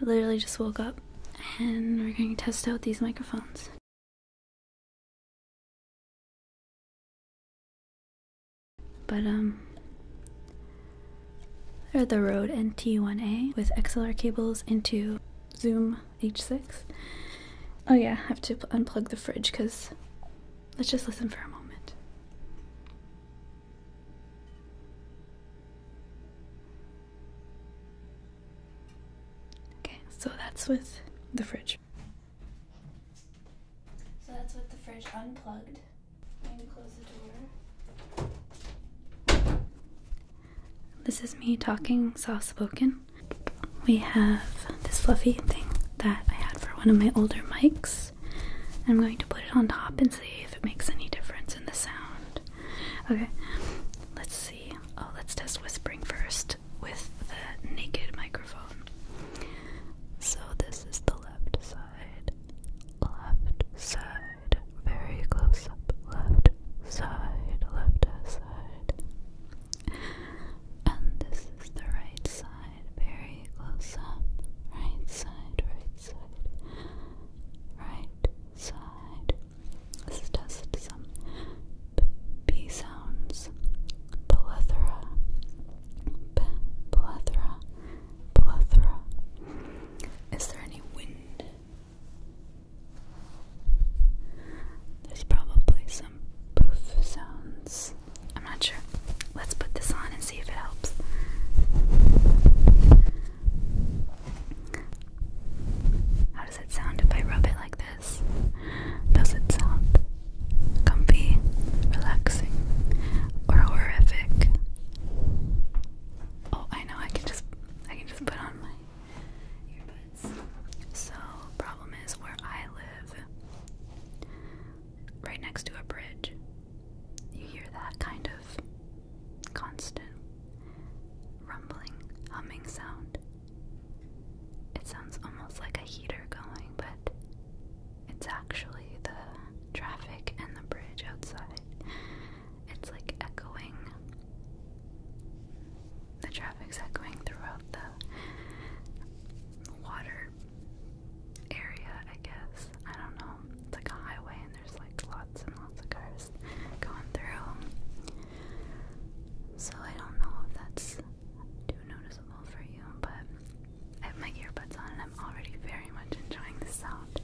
I literally just woke up and we're going to test out these microphones. But um they're the Rode NT1A with XLR cables into Zoom H6. Oh yeah, I have to unplug the fridge because let's just listen for a moment. Okay, so that's with the fridge. So that's with the fridge unplugged. I'm going to close the door. This is me talking soft spoken. We have this fluffy thing that I had for one of my older mics. I'm going to put it on top and see if it makes any difference in the sound. Okay, let's see. Oh, let's test whispering first with the naked microphone. So, this is the left side, left side, very close up, left side, left side. And this is the right side, very close up, right side, right side, right side. This is just some b sounds. Plethora, plethora, plethora. Is there any wind? There's probably some poof sounds. I'm not sure. Let's put this on and see if it helps. How does it sound if I rub it like this? Does it sound comfy, relaxing, or horrific? Oh, I know. I can just I can just put on my earbuds. So, problem is where I live, right next to a bridge. You hear that kind of constant rumbling, humming sound. It sounds almost like a heater going, but it's actually the traffic and the bridge outside. It's like echoing. The traffic's echoing throughout the water area, I guess. I don't know. It's like a highway in there there's like lots and lots of cars going through. So I don't know if that's too noticeable for you, but I have my earbuds on and I'm already very much enjoying the sound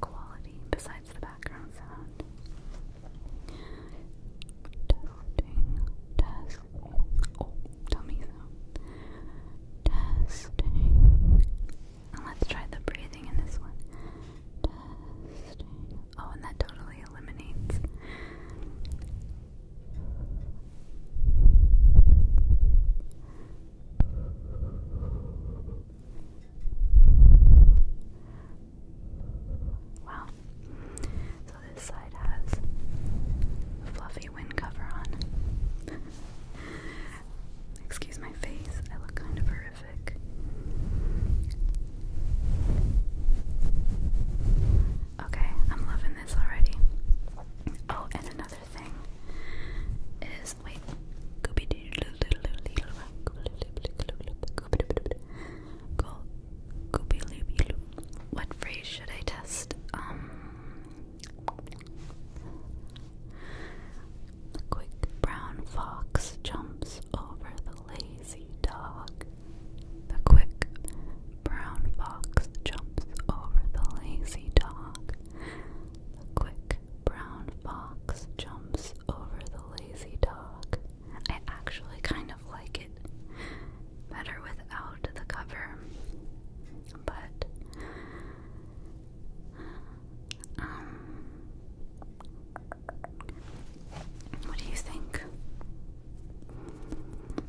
quality besides the background sound. Testing, testing. Oh, dummy sound. Testing, let's try the breathing in this one. Oh, and that totally eliminates. Wow. So this side has a fluffy wind cover on. Excuse my face, I look kind of horrific. Okay, I'm loving this already. Oh, and another thing is wait. What phrase should I test? Um, the quick brown fox jumps over the lazy dog. The quick brown fox jumps over the lazy dog. The quick brown fox jumps over the lazy dog. I actually kind of like it better without the cover, but um, what do you think?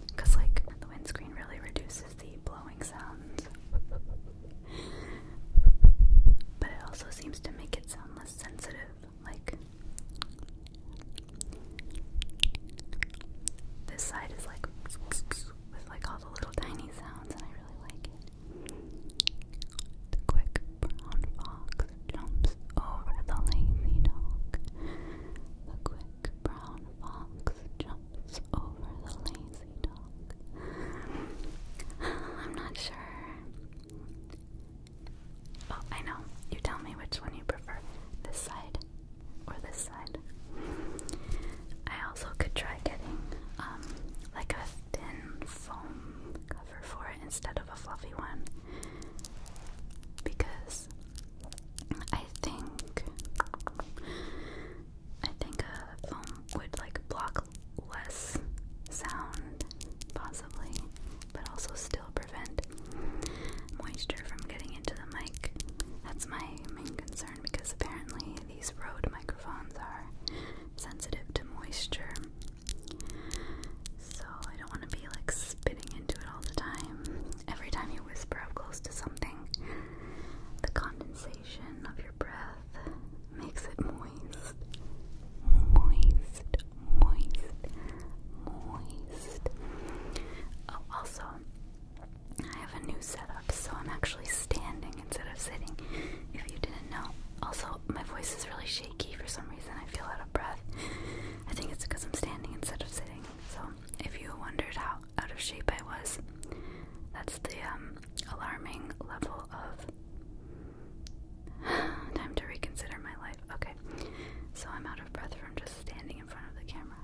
Because, like, the windscreen really reduces the blowing sounds. But it also seems to make it sound less sensitive. Like, this side is like with like all the little tiny sounds, and I really like it. The quick brown fox jumps over the lazy dog. The quick brown fox jumps over the lazy dog. I'm not sure. Oh, I know. You tell me which one you prefer this side or this side. I also could try getting um like a thin foam for it instead of a fluffy one because I think I think a foam would like block less sound possibly but also still prevent moisture from getting into the mic. That's my main concern because apparently these Rode microphones are sensitive to moisture so I don't want to be like spitting into it all the time. Every time you whisper up close to something, the condensation of your breath makes it moist. Moist, moist, moist. Oh, also, I have a new setup, so I'm actually standing instead of sitting. If you didn't know, also, my voice is really shaky for some reason. I feel out of breath. I think it's because I'm standing instead of sitting. So, if you wondered how out of shape I was, that's the um, alarming level of time to reconsider my life. Okay, so I'm out of breath from just standing in front of the camera.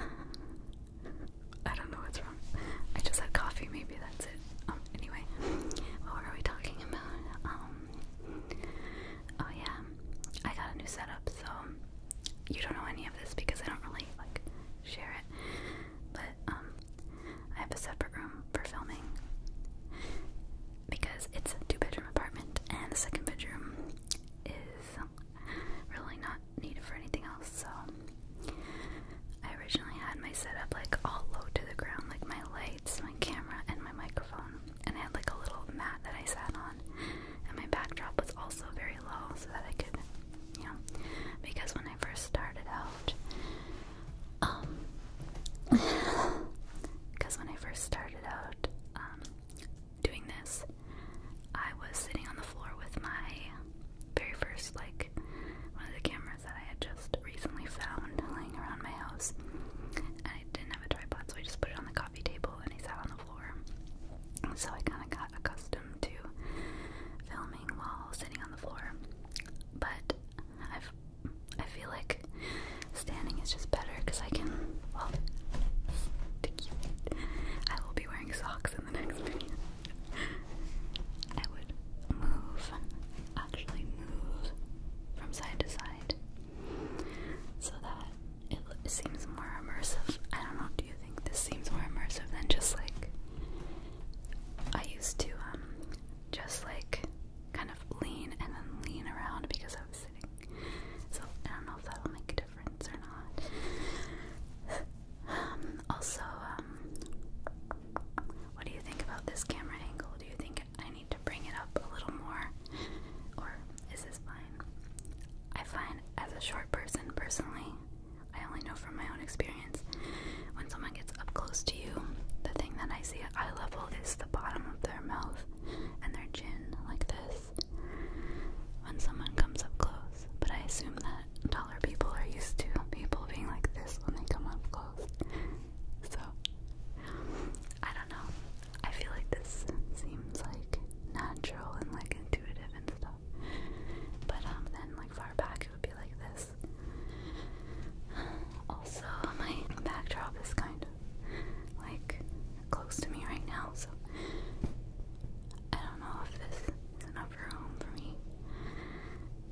I don't know what's wrong I just had coffee, maybe that's it. Um, anyway, what were we talking about? Um, oh yeah, I got a new setup, so you don't know any of this because I don't really like share it. But um, I have a separate room for filming because it's a two-bedroom apartment, and the second bedroom is really not needed for anything else. So I originally had my setup like all low to the ground, like my lights, my camera, and my microphone. And I had like a little mat that I sat on. And my backdrop was also very low so that I could, you know, because when I first started out, um, because when I first started out, um, doing this, I was sitting on the floor with my very first like one of the cameras that I had just recently found lying around my house. And I didn't have a tripod, so I just put it on the coffee table and I sat on the floor. So I kind of got accustomed to filming while sitting on the floor. But I've I feel like standing is just better because I can well I will be wearing socks in the next video. I would move actually move from side to side so that it, seems more immersive. I don't know, do you think this seems more immersive than just like I used to um just like kind of lean and then lean around because I was sitting. So I don't know if that'll make a difference or not. Um, also, um, what do you think about this camera angle? Do you think I need to bring it up a little more? Or is this fine? I find, as a short person, personally, I only know from my own experience, when someone gets up close to you, the thing that I see at eye level is the bottom of their mouth and their chin, like this, when someone comes up close. But I assume that taller people are used to people being like this when they come up close. So I don't know. I feel like this seems like natural and like intuitive and stuff. But um, then like far back it would be like this. Also my backdrop is kind of like close to me right now, so I don't know if this is enough room for me.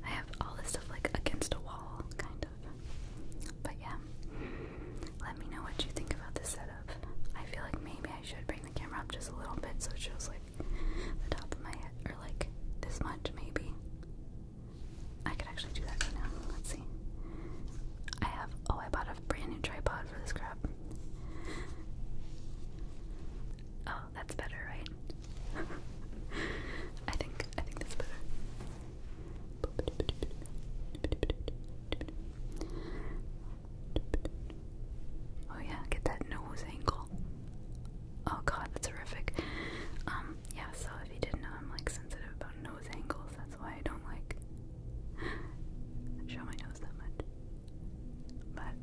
I have all this stuff like against a wall, kind of. But yeah, let me know what you think about this setup. I feel like maybe I should bring the camera up just a little bit so it shows like the top of my head, or like this much maybe. I could actually do that right now. Let's see. I have, oh, I bought a brand new tripod for this crap. Oh, that's better, right? I think I think that's better. Oh yeah, get that nose angle. Oh god, that's horrific. Um, yeah, so if you didn't know I'm like sensitive about nose angles, that's why I don't like show my nose that much. But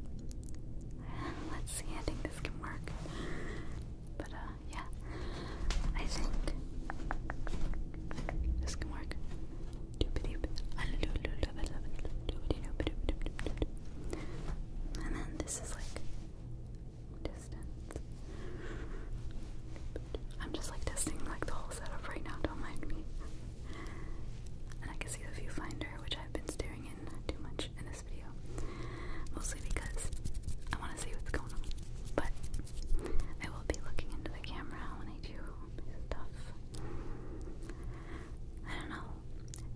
let's see, I think this can work. But uh, yeah, I think this can work. And then this is like distance. I'm just like testing like the whole setup right now, don't mind me. And I can see the viewfinder, which I've been staring in too much, Mostly because I want to see what's going on. But I will be looking into the camera when I do stuff. I don't know.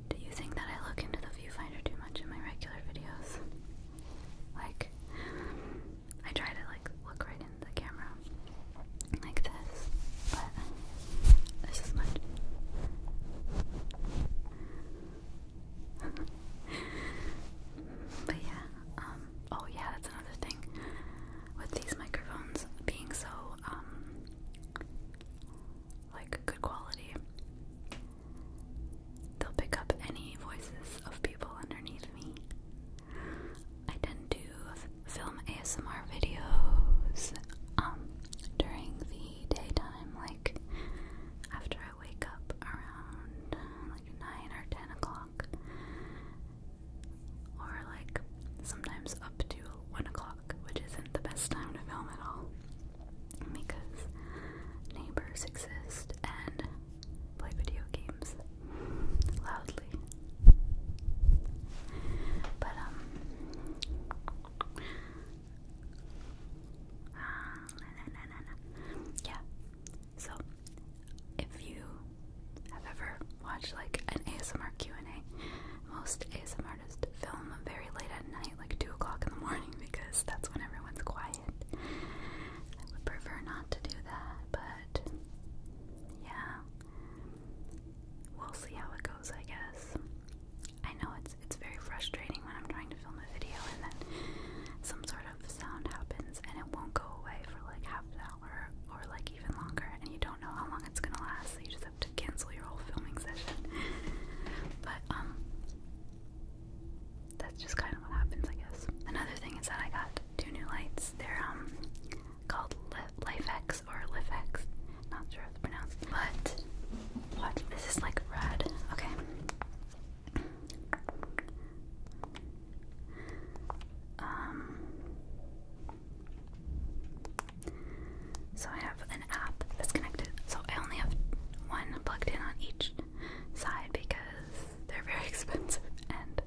Do you think that I look into the viewfinder too much in my regular videos? Like, I try to like look right into the camera like this, but this is much. but yeah, um, oh yeah, that's another thing with these microphones being so, um, like good quality, they'll pick up any voices of people underneath me. I tend to film ASMR videos um, during the daytime, like after wake up around uh, like 9 or 10 o'clock, or like sometimes up to 1 o'clock, which isn't the best time to film at all because neighbors exist and play video games loudly. But, um, yeah. So if you have ever watched like an ASMR Q&A, most ASM artists film very late at night, like 2 o'clock in the morning, because that's when everyone's quiet. I would prefer not to do that, but yeah, we'll see how it goes, I guess. I know it's it's very frustrating when I'm trying to film a video and then some sort of sound happens and it won't go away for like half an hour or like even longer and you don't know how long it's gonna last so you just have to cancel your whole filming session but um that's just kind of what happens I guess another thing is that I got two new lights they're um called LifeX or LifeX not sure how it's pronounced but watch this is like red okay um, so I have an app that's connected. So I only have one plugged in on each side because they're very expensive, and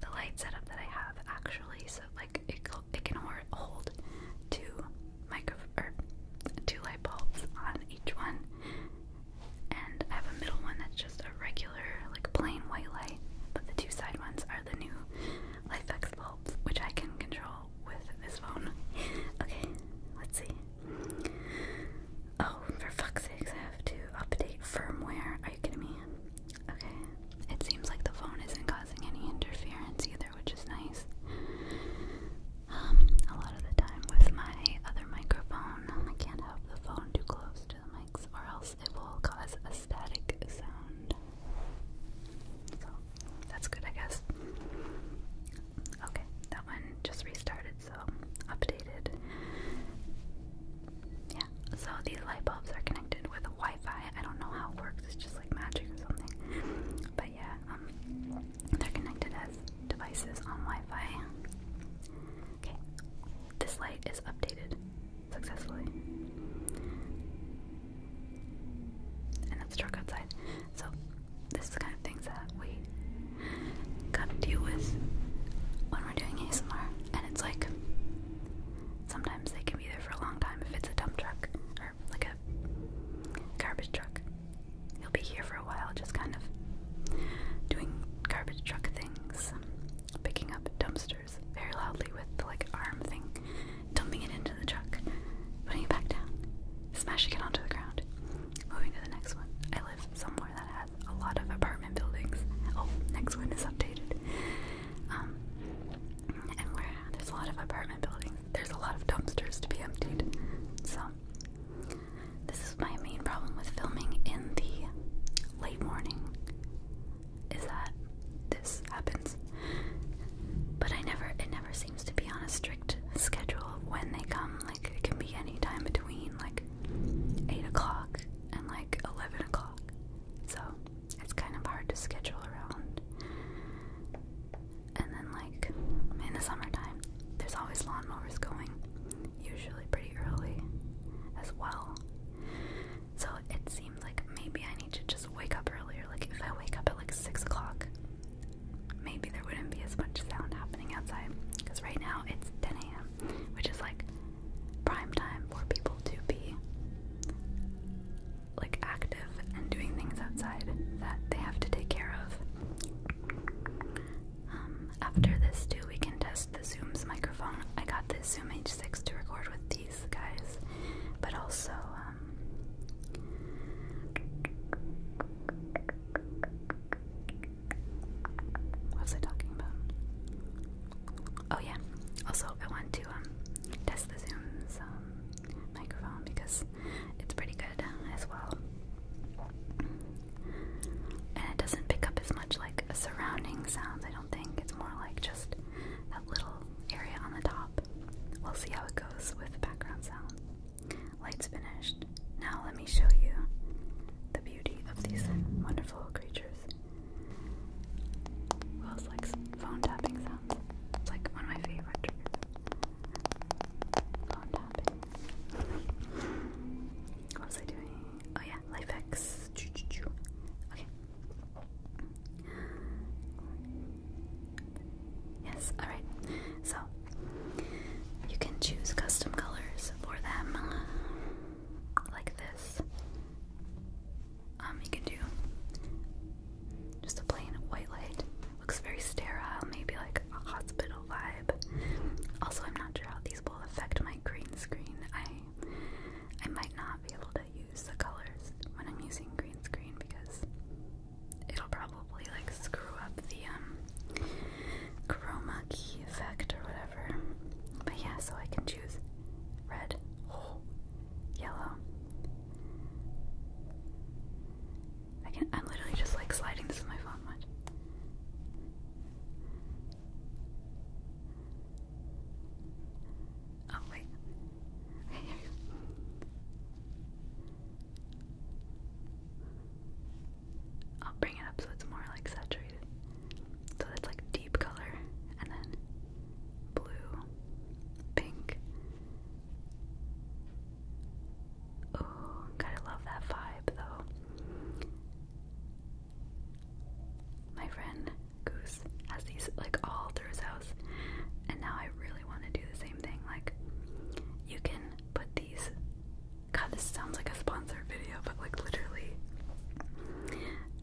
the light setup that I have actually, so like it, can hold two micro or two light bulbs on each one and I have a middle one that's just a regular, like plain white light. But the two side ones are the new LifeX bulbs, which I can control with this phone. okay, let's see. Oh, for fuck's sakes, I have to update firmware. Are you kidding me? Okay, it seems like the phone isn't causing any interference either, which is nice. Um, a lot of the time with my other microphone. I can't have the phone too close to the mics or else it will cause a static sound. So that's good, I guess. Okay, that one just restarted, so updated. Yeah, so these light bulbs are connected with Wi Fi. I don't know how it works, it's just like magic or something. But yeah, um, they're connected as devices on Wi-Fi. Okay, this light is updated successfully. And it's dark outside. So this is the kind of things that we gotta with when we're doing ASMR. And it's like sometimes they can be there for a long time if it's a dump truck or like a garbage truck he'll be here for a while, just kind of doing garbage truck things, picking up dumpsters very loudly with the like arm thing, dumping it into the truck, putting it back down, smashing it onto the ground, moving to the next one. I live somewhere that has a lot of apartment buildings. Oh, next one is updated. Um, and there's a lot of apartment buildings, there's a lot of dumpsters to be emptied. So this is my main problem with filming in the late morning is that this happens. But I never it never seems to be on a strict schedule when they come. Like it can be any time between like eight o'clock and like eleven o'clock. So it's kind of hard to schedule around. And then like in the summertime, there's always lawnmowers going usually pretty early as well. So it seems like maybe I need to just wake up earlier. Like if I wake up at like 6 o'clock, maybe there wouldn't be as much sound happening outside. Because right now it's 10 a.m., which is like prime time for people to be like active and doing things outside that they have to take care of. Um, after this too, we can test the Zoom's microphone. I got the Zoom H6 to record with these guys, but also um, what was I talking about? Oh yeah. Also, I want to um, test the Zoom's um, microphone because it's pretty good as well. And it doesn't pick up as much like surrounding sounds, I don't think. It's more like just that little area on the top. We'll see how it goes with background sound. Light's finished. Now let me show you the beauty of these wonderful creatures. Well, it's like phone tapping sounds. It's like one of my favorite Phone tapping. What was I doing? Oh yeah, life hacks. Okay. Yes, alright. So you can choose custom colors for them like this. Um, you can do just a plain white light. Looks very sterile, maybe like a hospital vibe. Also, I'm not sure how these will affect my green screen. I I might not be able to use the colors when I'm using green screen because it'll probably like screw up the um chroma key effect or whatever. But yeah, so I can choose red, oh, yellow. I can I'm literally just like sliding this with my phone Oh, wait. I'll bring it up so it's more like saturated. So that's like deep color, and then blue, pink. Oh, gotta love that vibe though. My friend Goose has these like all through his house, and now I really want to do the same thing. Like, you can put these. God, this sounds like a sponsored video, but like literally,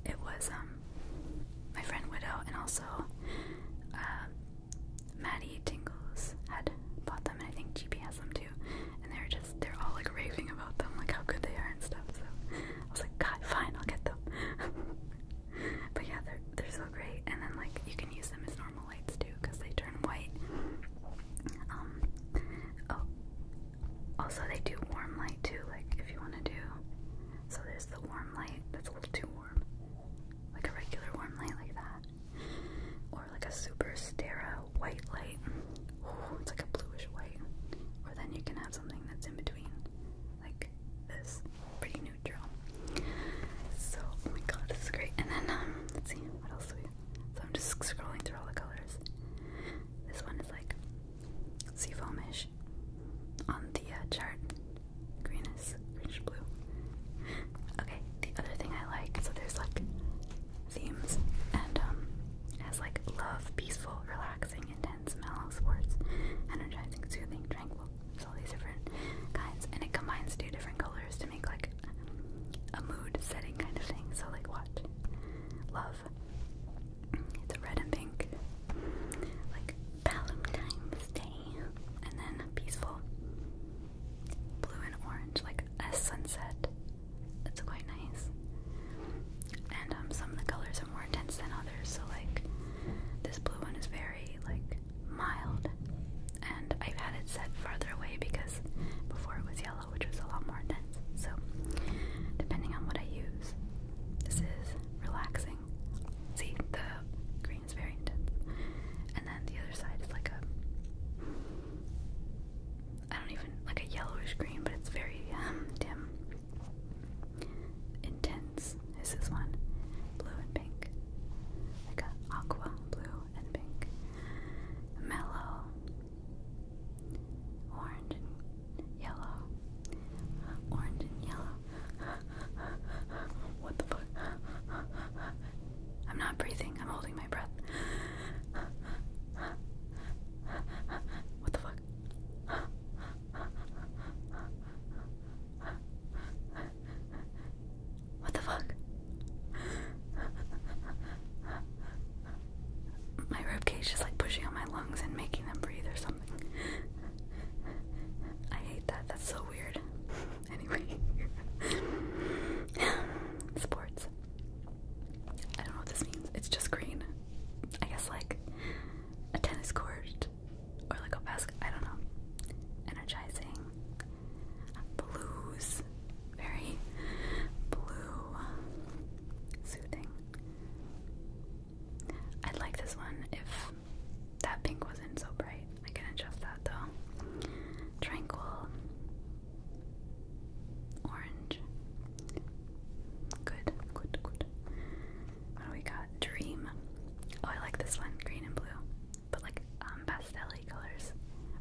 it was um my friend Widow and also uh, Maddie Tingles had bought I think GP has them too. And they're just, they're all like raving about them, like how good they are and stuff. So I was like, God, fine, I'll get them. but yeah, they're, they're so great. And then, like, you can use them as normal lights too, because they turn white. Um, oh, also, they do warm light too, like, if you want to do. So there's the warm light that's a little too warm, like a regular warm light, like that like a super sterile white light. it's like a bluish white. Or then you can have something that's in between, like this, pretty neutral. So, oh my god, this is great. And then, um, see, what else do we So I'm just scrolling through all the colors. This one is like seafoamish on the uh, chart. Greenish, is greenish blue. Okay, the other thing I like, so there's like themes and um, has like love, peaceful, relaxing, intense, mellow, sports, energizing, soothing, tranquil. So all these different kinds, and it combines two different colors to make like a mood setting kind of thing. So like what? Love. It's a red and pink, like Valentine's Day, and then peaceful, blue and orange, like a sunset it's quite nice. And um, some of the colors are more intense than others. So like this blue one is very like mild, and I've had it set farther away because before it was yellow, which was a lot more intense. So depending on what I use, this is relaxing. See, the green is very intense, and then the other side is like a I don't even like a yellowish green, but it's very um, dim. Intense This is one, blue and pink, like a aqua blue and pink, mellow, orange and yellow, orange and yellow. what the fuck? I'm not breathing. I'm holding my breath. What the fuck? What the fuck? My rib cage is like pushing on my lungs and making them breathe or something. I hate that. That's so weird. Anyway, sports. I don't know what this means. It's just green. I guess like a tennis court or like a basket. I don't know. Energizing. Blues. Very blue. Soothing. I'd like this one if that pink wasn't so bright. I can adjust that though. Tranquil. Orange. Good, good, good. What do we got? Dream. Oh, I like this one. Green and blue. But like um, pastel colors.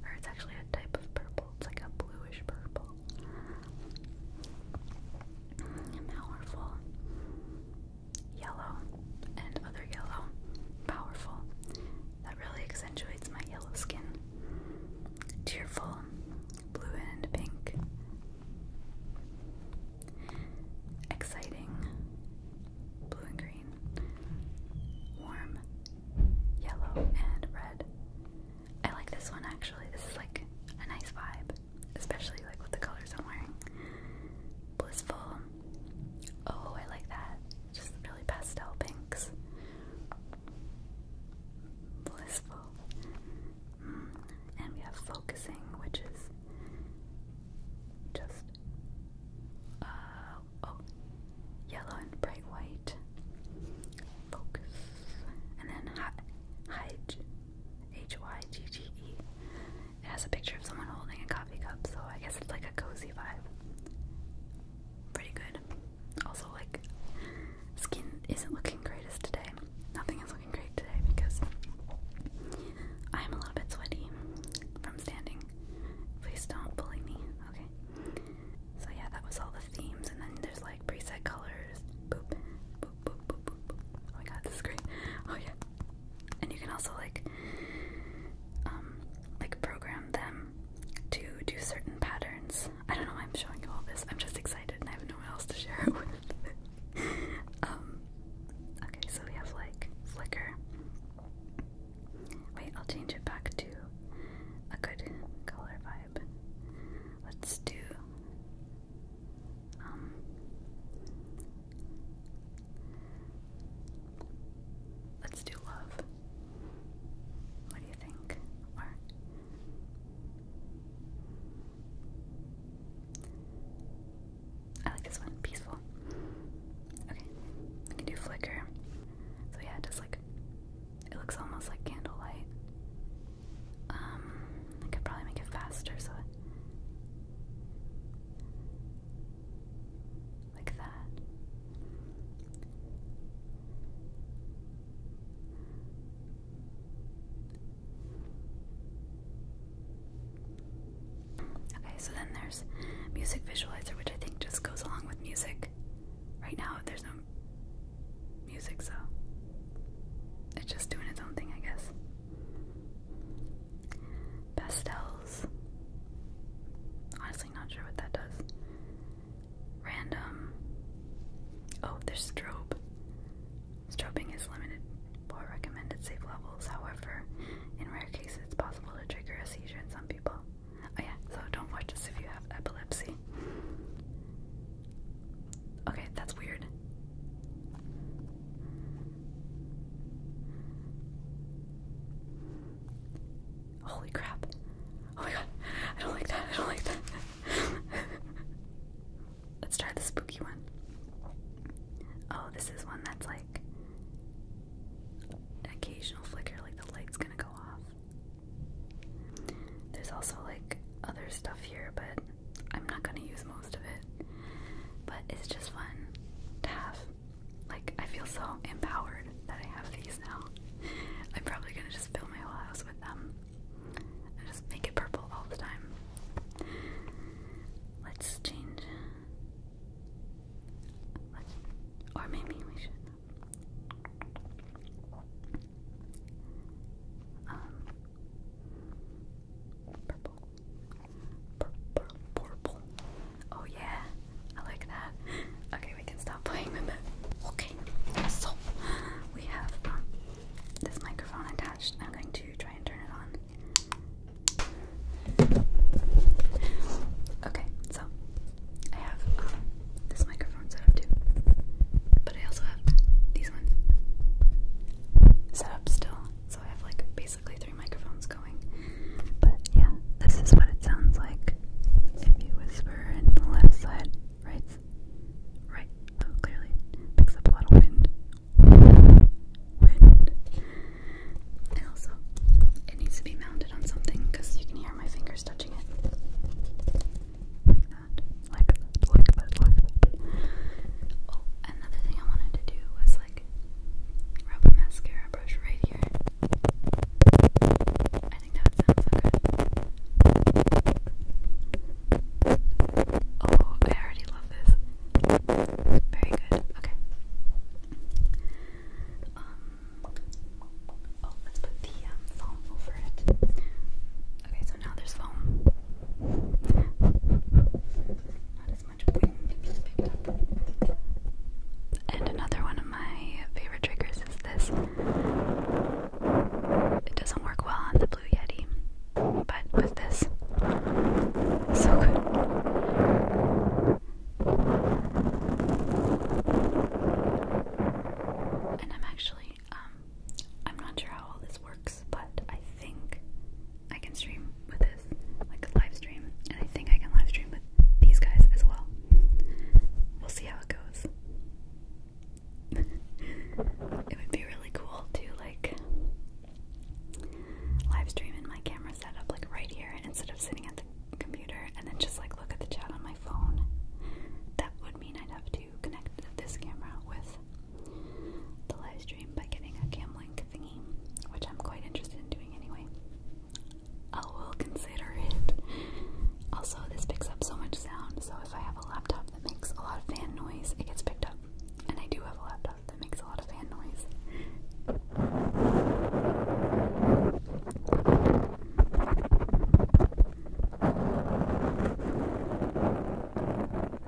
Or it's actually a type of purple. It's like a bluish purple. Powerful. Yellow. And other yellow. Powerful. That really accentuates my yellow skin. Tearful blue and pink. Exciting, blue and green. Warm, yellow, and red. I like this one actually. This is like a nice vibe, especially like with the colors I'm wearing. Blissful. Oh, I like that. Just really pastel pinks blissful. Mm. And we have focusing, which is just uh, oh, yellow and bright white. Focus, and then hide, H Y G G E. It has a picture of someone holding a coffee cup, so I guess it's like a cozy vibe. Pretty good. Also, like, skin isn't looking greatest today. Nothing is looking great today because I am a little bit sweaty from standing. Please don't bully me, okay? So yeah, that was all the themes, and then there's like preset colors. Boop, boop, boop, boop, boop. Oh my god, this is great. Oh yeah, and you can also like, um, like program them to do certain patterns. I don't know why I'm showing you all this. I'm just excited and I have no one else to share it with. Um, okay, so we have like Flickr. Wait, I'll change it back to a good color vibe. Let's do um, Let's do love. What do you think? I like this one, peaceful. Okay, we can do flicker. So yeah, just like it looks almost like candlelight. Um, I could probably make it faster, so like that. Okay, so then there's music visualizer, which I think just goes along with music. Right now, there's no music, so it's just doing its own thing, I guess. Pastels. Honestly, not sure what that does random. Oh, there's strobe. Strobing is limited for recommended safe levels. However, in rare cases, it's possible to trigger a seizure in some people. Oh yeah, so don't watch this if you have epilepsy. Okay, that's weird. Holy crap. Oh my god. I don't like that. I don't like that. Let's try the spooky one. Oh, this is one that's like occasional flicker, like the light's gonna go off. There's also like other stuff here, but I'm not gonna use most of it. But it's just fun to have. Like, I feel so empowered that I have these now. I'm probably gonna just fill my whole house with them. I just make it purple all the time. Let's change. Let's, or maybe we should. Um, purple. Purple. Purple. Oh yeah, I like that. Okay, we can. Start Okay, so we have um, this microphone attached. I'm going to try and turn it on. Okay, so I have um, this microphone set up too, but I also have these ones set up still. So I have like basically three microphones going. But yeah, this is what it sounds like if you whisper in the left side right, right. So oh, clearly, picks up a lot of wind. Wind. And also, it needs to be mounted on something because you can hear my fingers touching it. Oh, another thing I wanted to do was like rub a mascara brush right here that would sound Oh, I already love this. Very good. Okay. Um. Oh, let's put the um, foam over it. Okay, so now there's foam. Not as much wind picked up. And another one of my favorite triggers is this it doesn't work well on the Blue Yeti, but with this, so good. And I'm actually, um, I'm not sure how all this works, but I think I can stream with this, like a live stream, and I think I can live stream with these guys as well. We'll see how it goes it would be really cool to like live in my camera setup like right here instead of sitting at the computer and then just like look at the chat on my phone. That would mean I'd have to connect this camera with the live by getting a cam thingy, which I'm quite interested in doing anyway. I will consider it. Also, this picks up so much sound, so if I have a laptop that makes a lot of fan noise, it gets picked up. And I do have a laptop that makes a lot of fan noise.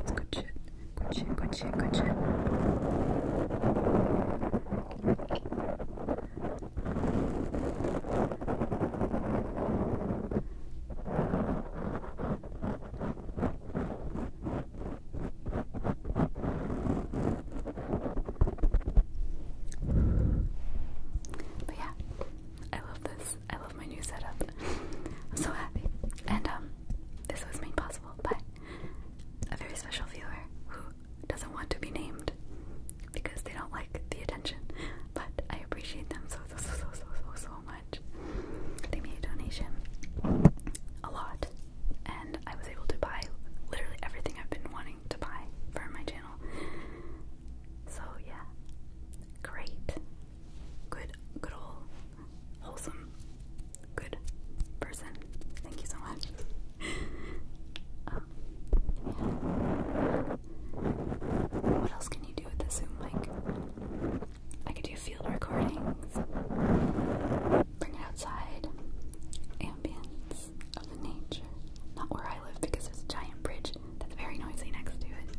That's good shit. Good shit, good shit, good shit. But yeah, I love this. I love my new setup. I'm so happy. And um, this was made possible by a very special viewer who doesn't want to be named because they don't like the attention. But I appreciate them so so so so so so so much much. They made a donation, a lot, and I was able to buy literally everything I've been wanting to buy for my channel. So yeah, great, good, good old, wholesome, good person. Thank you so much. Um, what else can you do with the Zoom mic? I could do field recordings, bring it outside, ambience of the nature. Not where I live because there's a giant bridge that's very noisy next to it.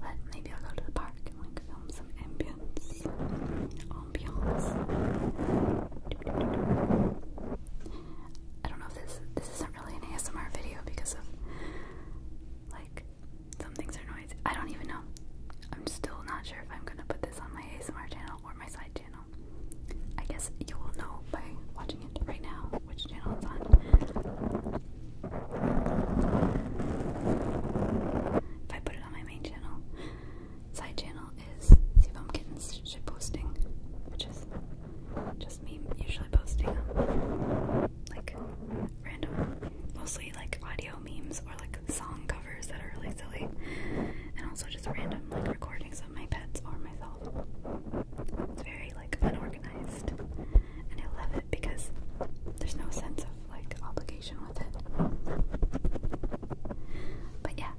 But maybe I'll go to the park and like film some ambience. Ambience. I don't know if this this isn't really an ASMR video because of like, some things are noisy. I don't even know. I'm still not sure if I'm gonna put this on my ASMR channel or my side channel. I guess you will know by watching it right now which channel it's on. If I put it on my main channel, side channel is Seabum Kittens shit posting, which is just me usually posting like random, mostly like audio memes or like song covers that are really silly, and also just random like recordings of my pets or myself. It's very like unorganized, and I love it because there's no sense of like obligation with it. But yeah.